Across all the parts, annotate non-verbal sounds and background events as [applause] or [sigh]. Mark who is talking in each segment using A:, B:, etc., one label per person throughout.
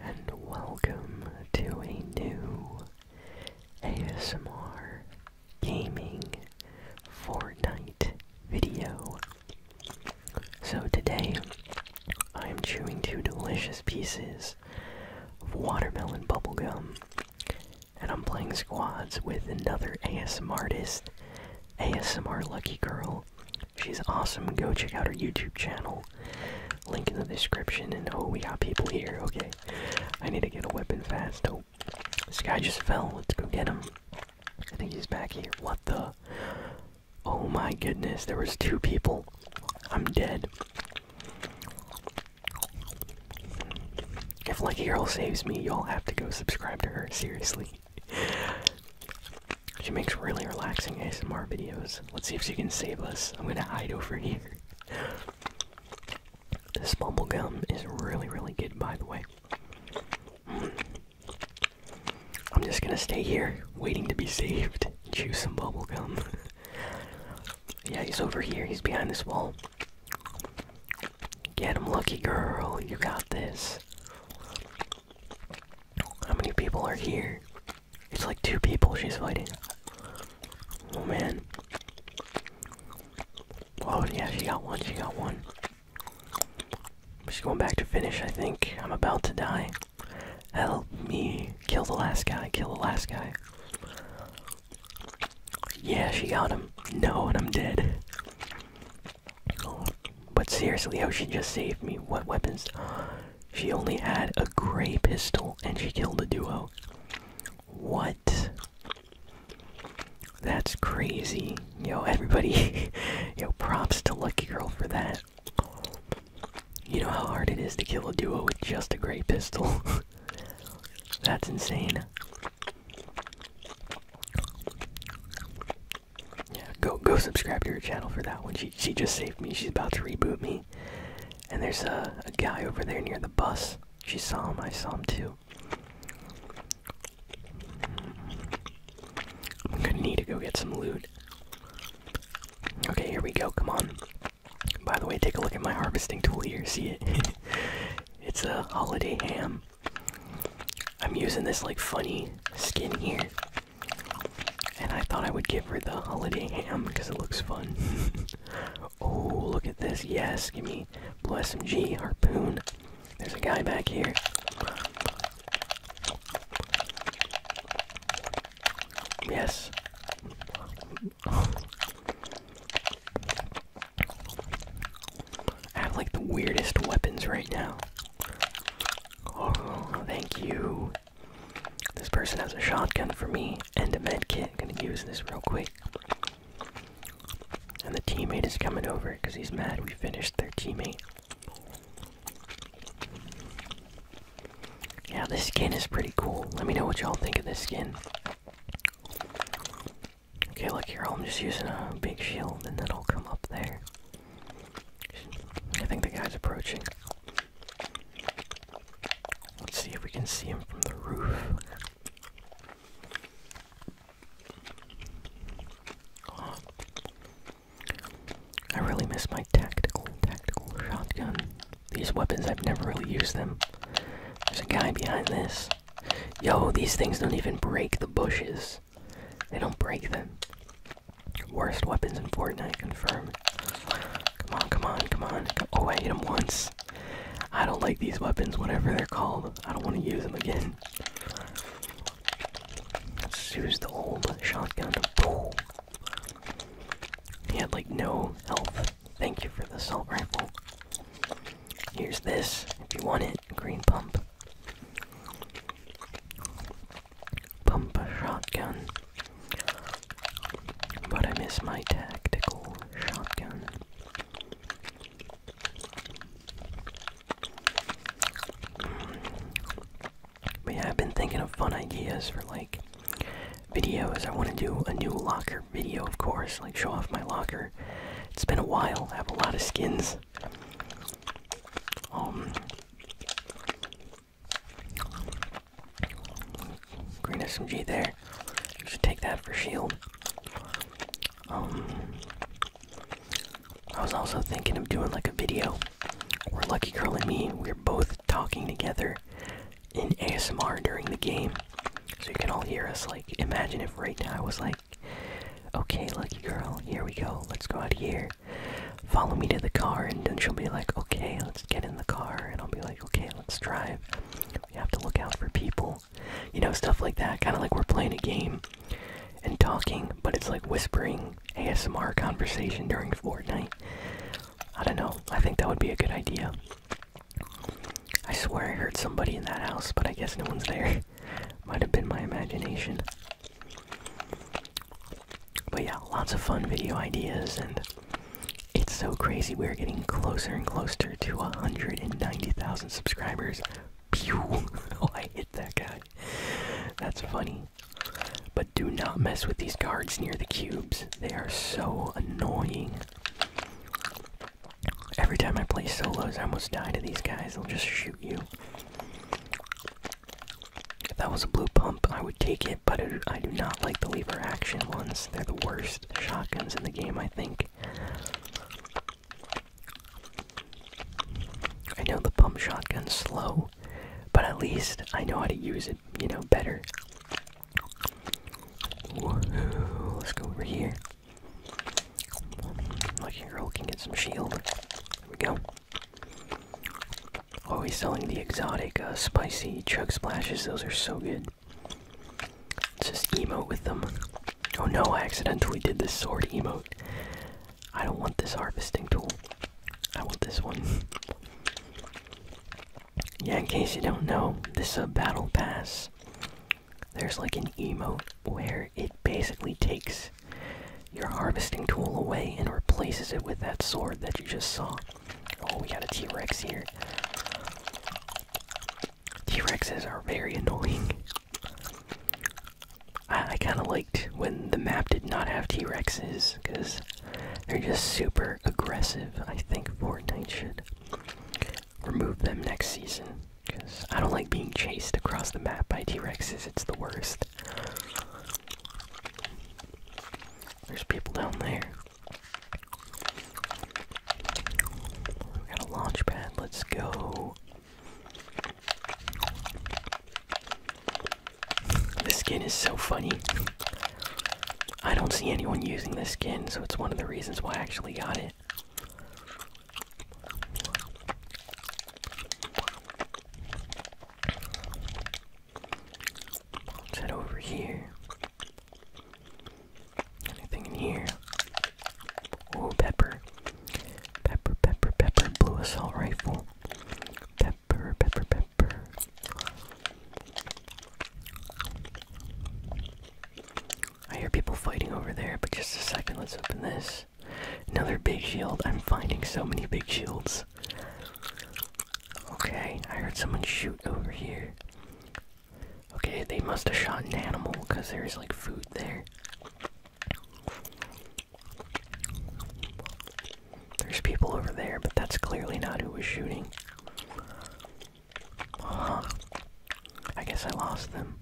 A: and welcome to a new ASMR gaming Fortnite video. So today I am chewing two delicious pieces of watermelon bubblegum and I'm playing squads with another ASMR artist, ASMR Lucky Girl. She's awesome. Go check out her YouTube channel. Link in the description. And oh, we got people here. Okay, I need to get a weapon fast. Oh, this guy just fell. Let's go get him. I think he's back here. What the? Oh my goodness, there was two people. I'm dead. If Lucky Girl saves me, y'all have to go subscribe to her, seriously. She makes really relaxing ASMR videos. Let's see if she can save us. I'm gonna hide over here. This bubblegum is really, really good, by the way. I'm just gonna stay here, waiting to be saved. Chew some bubblegum. yeah, he's over here, he's behind this wall. Get him, lucky girl, you got this. How many people are here? It's like two people she's fighting. Oh man. Oh yeah, she got one, she got one. She's going back to finish, I think. I'm about to die. Help me. Kill the last guy, kill the last guy. Yeah, she got him. No, and I'm dead. but seriously, how oh, she just saved me. What weapons? She only had a gray pistol and she killed a duo. What? That's crazy. Yo, everybody. [laughs] Yo, props to Lucky Girl for that. You know how hard it is to kill a duo with just a gray pistol? [laughs] That's insane. Yeah, go go subscribe to her channel for that one. She she just saved me. She's about to reboot me. And there's a, guy over there near the bus. She saw him, I saw him too. I'm gonna need to go get some loot. Okay, here we go, come on. By the way, take a look at my harvesting tool here, see it? [laughs] it's a holiday ham. I'm using this like funny skin here. And I thought I would give her the holiday ham because it looks fun. [laughs] Oh, look at this. Yes, give me bless blue G harpoon. There's a guy back here. Yes. I have like the weirdest weapons right now. Oh, thank you. This person has a shotgun for me and a med kit. I'm gonna use this real quick. And the teammate is coming over because he's mad we finished their teammate. Yeah, this skin is pretty cool. Let me know what y'all think of this skin. Okay, look here. I'm just using a big shield, and that'll come up there. I think the guy's approaching. Let's see if we can see him from the roof. I really miss my tactical, tactical shotgun. These weapons, I've never really used them. There's a guy behind this. Yo, these things don't even break the bushes. They don't break them. Worst weapons in Fortnite, confirmed. Come on, come on, come on. Oh, I hit him once. I don't like these weapons, whatever they're called. I don't want to use them again. use the old shotgun. He had like no health. Thank you for the salt rifle. Here's this, if you want it. Green pump. Pump a shotgun. But I miss my tactical shotgun. But yeah, I've been thinking of fun ideas for like videos. I want to do a new locker video, of course, like show off my locker. It's been a while. I have a lot of skins. Um, Green SMG there. You should take that for shield. Um, I was also thinking of doing like a video where Lucky Girl and me, we're both talking together in ASMR during the game. So you can all hear us. Like, imagine if right now I was like, okay, Lucky Girl, here we go. Let's go out here. Follow me to the car. And then she'll be like, okay, let's get in the car. And I'll be like, okay, let's drive. We have to look out for people. You know, stuff like that. Kind of like we're playing a game and talking, but it's like whispering ASMR conversation during Fortnite. I don't know. I think that would be a good idea. I swear I heard somebody in that house, but I guess no one's there. [laughs] Might have been my imagination. But yeah, lots of fun video ideas and it's so crazy. We're getting closer and closer to 190,000 subscribers. Pew! [laughs] oh, I hit that guy. That's funny. But do not mess with these guards near the cubes. They are so annoying. Every time I play solos, I almost die to these guys. They'll just shoot you. If that was a blue pump, I would take it, but I do not like the lever action ones. They're the worst shotguns in the game, I think. I know the pump shotgun's slow, but at least I know how to use it, you know, better. let's go over here. Lucky girl can get some shield. There we go. Oh, he's selling the exotic uh, spicy chug splashes. Those are so good. Let's just emote with them. Oh no, I accidentally did this sword emote. I don't want this harvesting tool. I want this one. yeah, in case you don't know, this uh, battle pass. There's like an emote where it basically takes your harvesting tool away and replaces it with that sword that you just saw. Oh, we got a T Rex here. T-Rexes are very annoying. I, kind of liked when the map did not have T-Rexes, because they're just super aggressive. I think Fortnite should remove them next season, because I don't like being chased across the map by T-Rexes. It's the worst. There's people down there. We got a launch let's go. This skin is so funny. I don't see anyone using this skin, so it's one of the reasons why I actually got it. Let's head over here. Anything in here? Oh, pepper. Pepper, pepper, pepper. Blue assault rifle. Pepper, pepper, pepper. I hear people fighting over there, but just a second, let's open this. Another big shield. I'm finding so many big shields. Okay, I heard someone shoot over here. Okay, they must have shot an animal because there's like food there. There's people over there, but that's clearly not who was shooting. huh. I guess I lost them.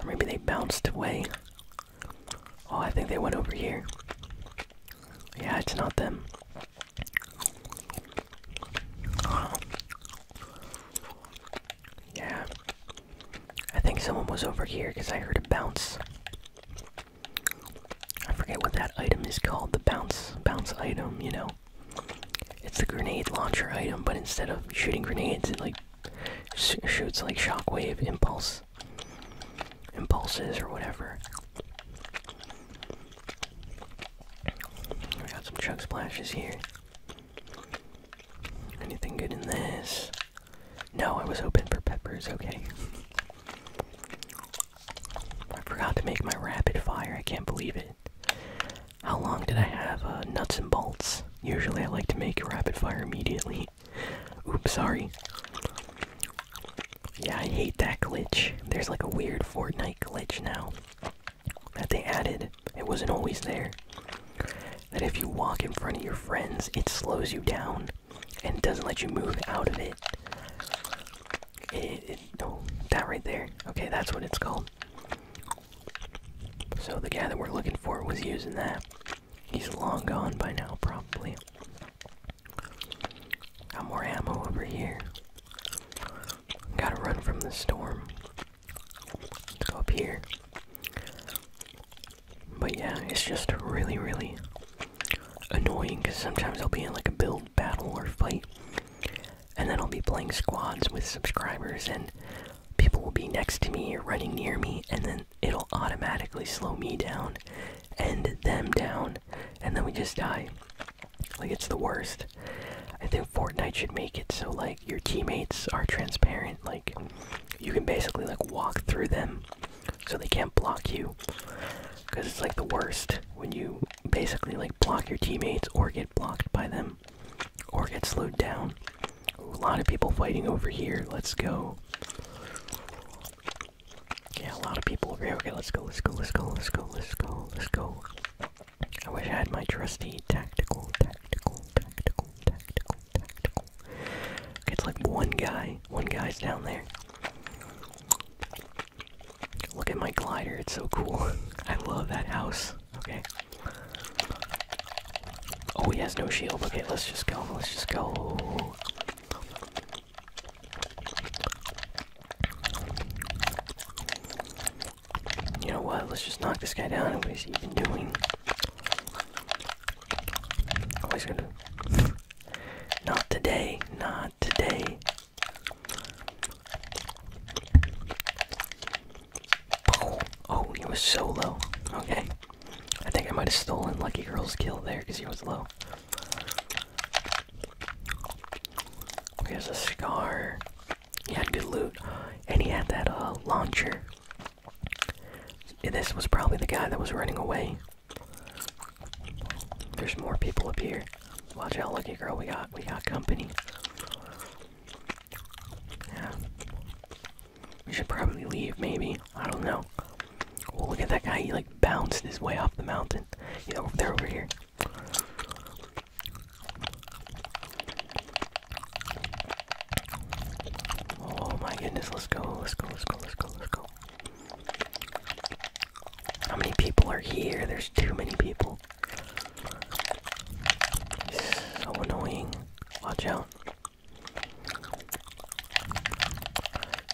A: Or maybe they bounced away. Oh, I think they went over here. Yeah, it's not them. Yeah. I think someone was over here because I heard a bounce. I forget what that item is called, the bounce bounce item, you know. It's the grenade launcher item, but instead of shooting grenades, it like shoots like shockwave impulse impulses or whatever. We got some chug splashes here. Anything good in this? No, I was hoping for peppers, okay. I forgot to make my rapid fire, I can't believe it. How long did I have uh, nuts and bolts? Usually I like to make rapid fire immediately. Oops, sorry. Yeah, I hate that glitch. There's like a weird Fortnite glitch now that they added, it wasn't always there. That if you walk in front of your friends, it slows you down and doesn't let you move out of it. It, that right there. Okay, that's what it's called. So the guy that we're looking for was using that. He's long gone by now, probably. Got more ammo over here. Gotta run from the storm. Let's go up here. But yeah, it's just really, really annoying because sometimes I'll be in like a build battle or fight, and then I'll be playing squads with subscribers, and people will be next to me or running near me, and then it'll automatically slow me down and them down, and then we just die. Like it's the worst. I think Fortnite should make it so like your teammates are transparent. Like you can basically like walk through them, so they can't block you. Cause it's like the worst when you basically like block your teammates or get blocked by them, or get slowed down. A lot of people fighting over here. Let's go. Yeah, a lot of people over here. Okay, let's go, let's go, let's go, let's go, let's go, let's go. I wish I had my trusty tactical, tactical, tactical, tactical, tactical. It's like one guy. One guy's down there. Look at my glider. It's so cool. [laughs] I love that house. Okay. Oh, he has no shield. Okay, let's just go. Let's just go. You know what? Let's just knock this guy down. What is he even doing? Oh, he's gonna. [laughs] Not today. Not today. Oh, oh, he was so low. Okay. I think I might have stolen Lucky Girl's kill there because he was low. Okay, there's a scar. He had good loot, and he had that uh, launcher. This was probably the guy that was running away. There's more people up here. Watch out, lucky girl. We got we got company. Yeah. We should probably leave. Maybe I don't know. Oh, look at that guy. He like bounced his way off the mountain. Yeah, they're over here. Oh my goodness, let's go, let's go, let's go, let's go, let's go. How many people are here? There's too many people. So annoying. Watch out.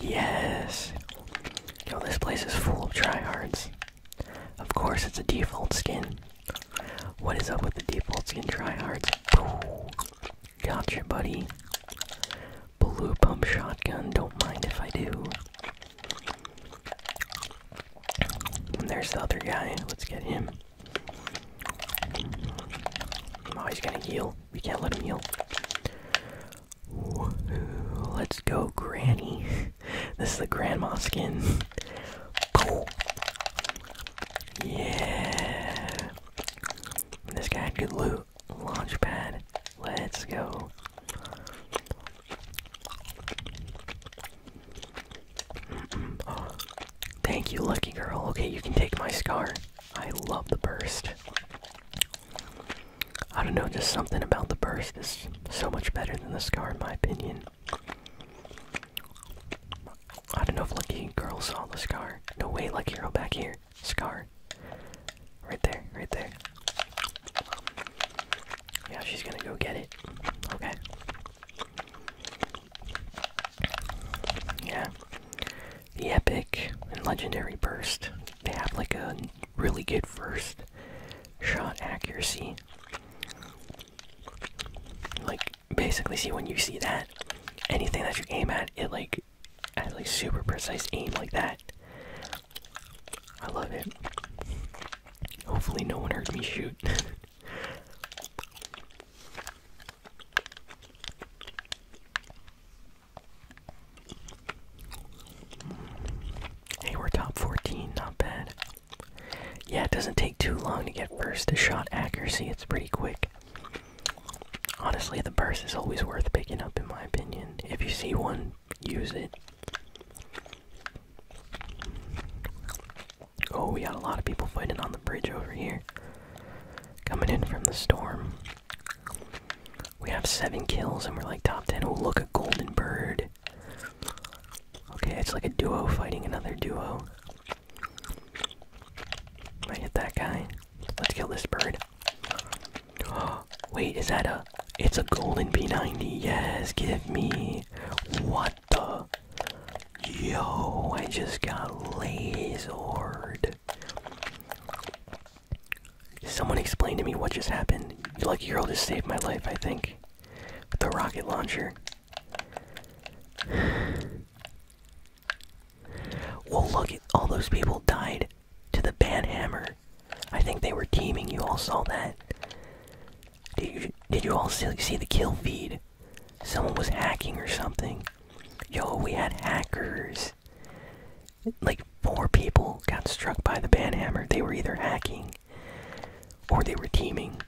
A: Yes. Yo, this place is full of tryhards. Of course, it's a default skin. What is up with the default skin tryhards? your buddy. Blue pump shotgun, don't mind if I do. And there's the other guy, let's get him. Oh, he's gonna heal. We can't let him heal. let's go, Granny. [laughs] this is the grandma skin. Yeah. This guy could loot. Launch pad. Let's go. [clears throat] thank you, lucky girl. Okay, you can take my scar. I love the burst. I don't know, just something about the burst is so much better than the scar, in my opinion. I don't know if Lucky Girl saw the scar. No way, Lucky Girl back here. Scar. Right there, right there. Yeah, she's gonna go get it. Okay. Yeah. The epic and legendary burst. They have like a really good first shot accuracy. Like basically see when you see that anything that you aim at it like at like super precise aim like that i love it hopefully no one heard me shoot [laughs] hey we're top 14 not bad yeah, it doesn't take too long to get burst shot accuracy. It's pretty quick. Honestly, the burst is always worth picking up, in my opinion. If you see one, use it. Oh, we got a lot of people fighting on the bridge over here. Coming in from the storm. We have seven kills and we're like top ten. Oh, look, a golden bird. Okay, it's like a duo fighting another duo. I hit that guy. Let's kill this bird. [gasps] wait, is that a. It's a golden P90. Yes, give me. What the? Yo, I just got lasered. Someone explain to me what just happened. Lucky Girl just saved my life, I think. With the rocket launcher well, look at all those people died to the bad hammer. I think they were teaming. You all saw that. Did you, did you all see, the kill feed? Someone was hacking or something. Yo, we had hackers. Like four people got struck by the hammer. They were either hacking or they were teaming.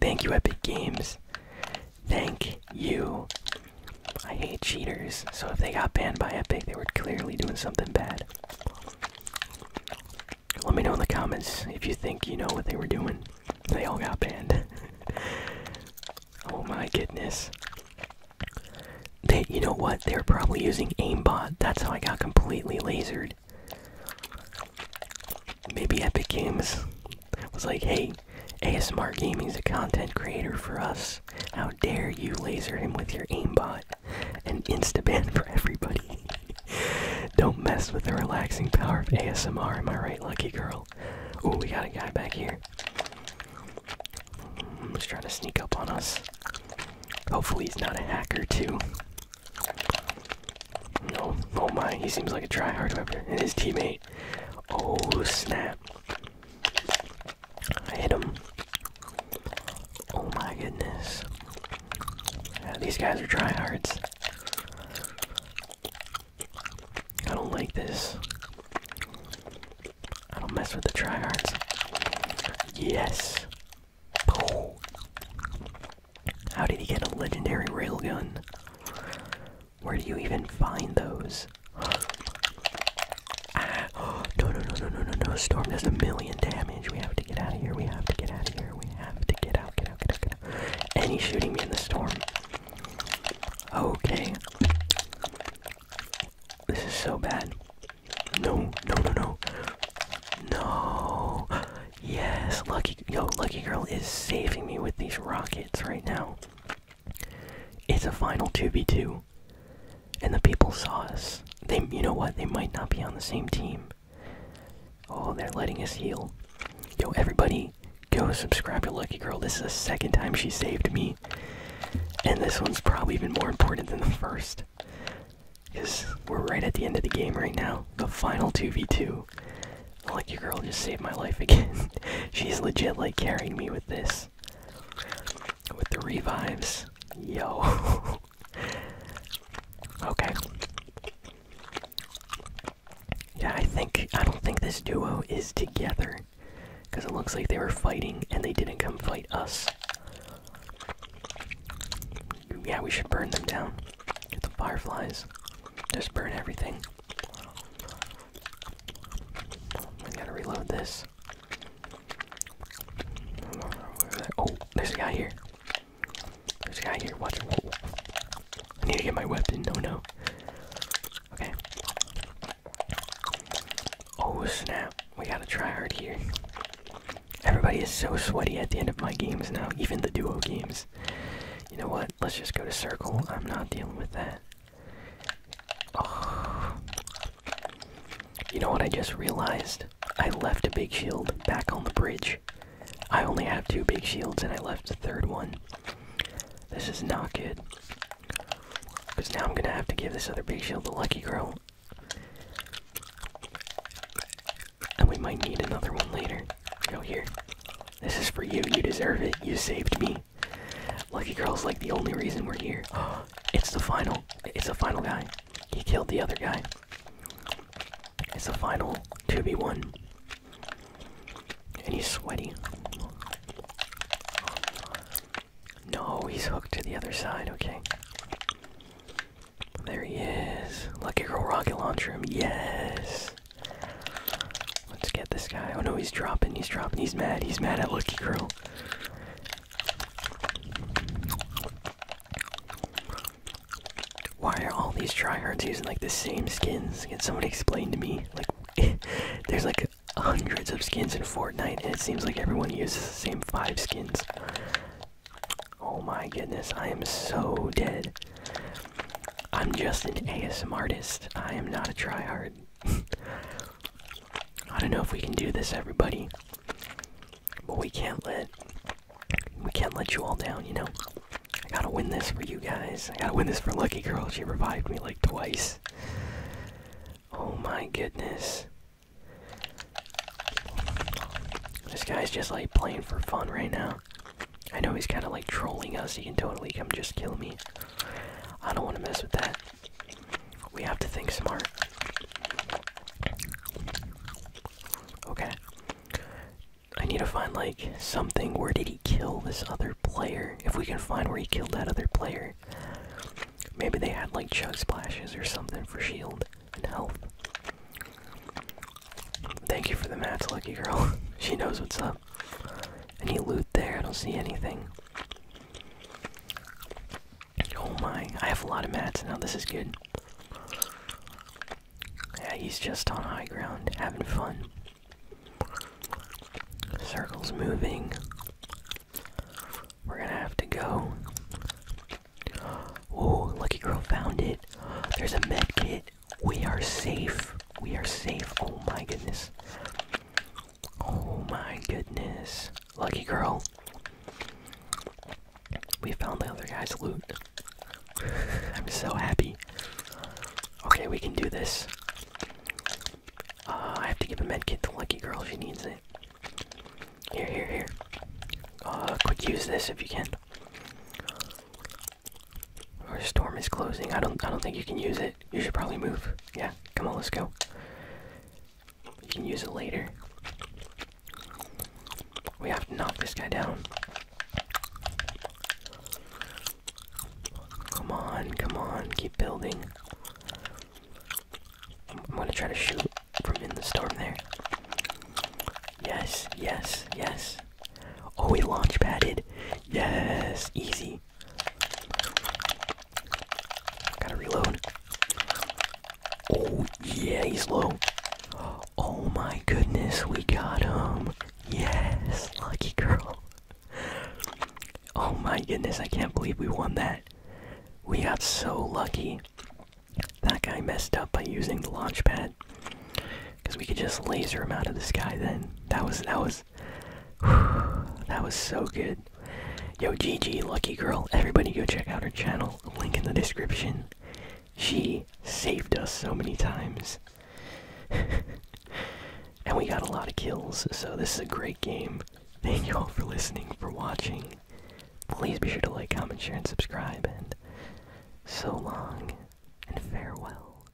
A: Thank you, Epic Games. Thank you. I hate cheaters, so if they got banned by Epic, they were clearly doing something bad. Let me know in the comments if you think you know what they were doing. They all got banned. [laughs] oh my goodness. you know what? They were probably using aimbot. That's how I got completely lasered maybe Epic Games was like, hey, ASMR Gaming's a content creator for us. How dare you laser him with your aimbot and instaban for everybody? [laughs] Don't mess with the relaxing power of ASMR, am I right, lucky girl? Oh, we got a guy back here. Mm, he's trying to sneak up on us. Hopefully, he's not a hacker, too. No, oh my, he seems like a tryhard weapon. And his teammate. Oh snap. I hit him. Oh my goodness. these guys are tryhards. I don't like this. I don't mess with the tryhards. Yes. How did he get a legendary railgun? Where do you even find those? oh, [gasps] no, no, no, no, no, no, no. Storm does a million damage. We have to get out of here. We have to get out of here. We have to get out, get out, get out, get out. And shooting me in the storm. Okay. This is so bad. No, no, no, no. No. Yes, lucky. Yo, Lucky Girl is saving me with these rockets right now. It's a final 2v2. And the people saw us. They, you know what? They might not be on the same team. Oh, they're letting us heal. Yo, everybody, go subscribe to Lucky Girl. This is the second time she saved me. And this one's probably even more important than the first. Because we're right at the end of the game right now. The final 2v2 you. Lucky girl just saved my life again. [laughs] She's legit like carrying me with this. With the revives. Yo. [laughs] okay. Yeah, I think I don't think this duo is together. Cause it looks like they were fighting and they didn't come fight us. Yeah, we should burn them down. Get the fireflies. Just burn everything. I gotta reload this. Oh, there's a guy here. There's a guy here. Watch him. I need to get my weapon. No, no. Okay. Oh, snap. We gotta try hard here. Everybody is so sweaty at the end of my games now, even the duo games. You know what? Let's just go to circle. I'm not dealing with that. Oh. You know what I just realized? I left a big shield back on the bridge. I only have two big shields and I left the third one. This is not good. Because now I'm going to have to give this other big shield to Lucky Girl. And we might need another one later. Go here. This is for you. You deserve it. You saved me. Lucky Girl's like the only reason we're here. [gasps] it's the final. It's the final guy. He killed the other guy. It's the final 2 B one And he's sweaty. No, he's hooked to the other side. Okay. There he is. Lucky Girl Rocket Launcher Yes. Let's get this guy. Oh no, he's dropping, he's dropping, he's mad, he's mad at Lucky Girl. Why are all these tryhards using like the same skins? Can somebody explain to me? Like, [laughs] there's like hundreds of skins in Fortnite, and it seems like everyone uses the same five skins. Oh my goodness, I am so dead. I'm just an ASM artist. I am not a tryhard. [laughs] I don't know if we can do this, everybody, but we can't let we can't let you all down. You know, I gotta win this for you guys. I gotta win this for Lucky Girl. She revived me like twice. Oh my goodness. This guy's just like playing for fun right now. I know he's kind of like trolling us. He can totally come just kill me. I don't want to mess with that. We have to think smart. Okay. I need to find like something. Where did he kill this other player? If we can find where he killed that other player. Maybe they had like chug splashes or something for shield and health. Thank you for the mats, Lucky Girl. [laughs] she knows what's up any loot there. I don't see anything. Oh my, I have a lot of mats now. This is good. Yeah, he's just on high ground, having fun. Circle's moving. We're gonna have to go. Oh, Lucky Girl found it. There's a med kit. We are safe. We are safe. Oh my goodness. Oh my goodness. Lucky girl. We found the other guy's loot. [laughs] I'm so happy. Okay, we can do this. Uh, I have to give a medkit to Lucky Girl. She needs it. Here, here, here. quick uh, use this if you can. Our storm is closing. I don't I don't think you can use it. You should probably move. Yeah, come on, let's go. You can use it later. We have to knock this guy down. Come on, come on, keep building. I'm, gonna try to shoot from in the storm there. Yes, yes, yes. Oh, we launch padded. Yes, easy. Gotta reload. Oh, yeah, he's low. Oh my goodness, we got him. Yes, lucky girl. Oh my goodness, I can't believe we won that. We got so lucky. That guy messed up by using the launch pad. Because we could just laser him out of the sky then. That was that was that was so good. Yo, GG, lucky girl. Everybody go check out her channel. Link in the description. She saved us so many times. [laughs] and we got a lot of kills, so this is a great game. Thank you all for listening, for watching. Please be sure to like, comment, share, and subscribe. And so long, and farewell.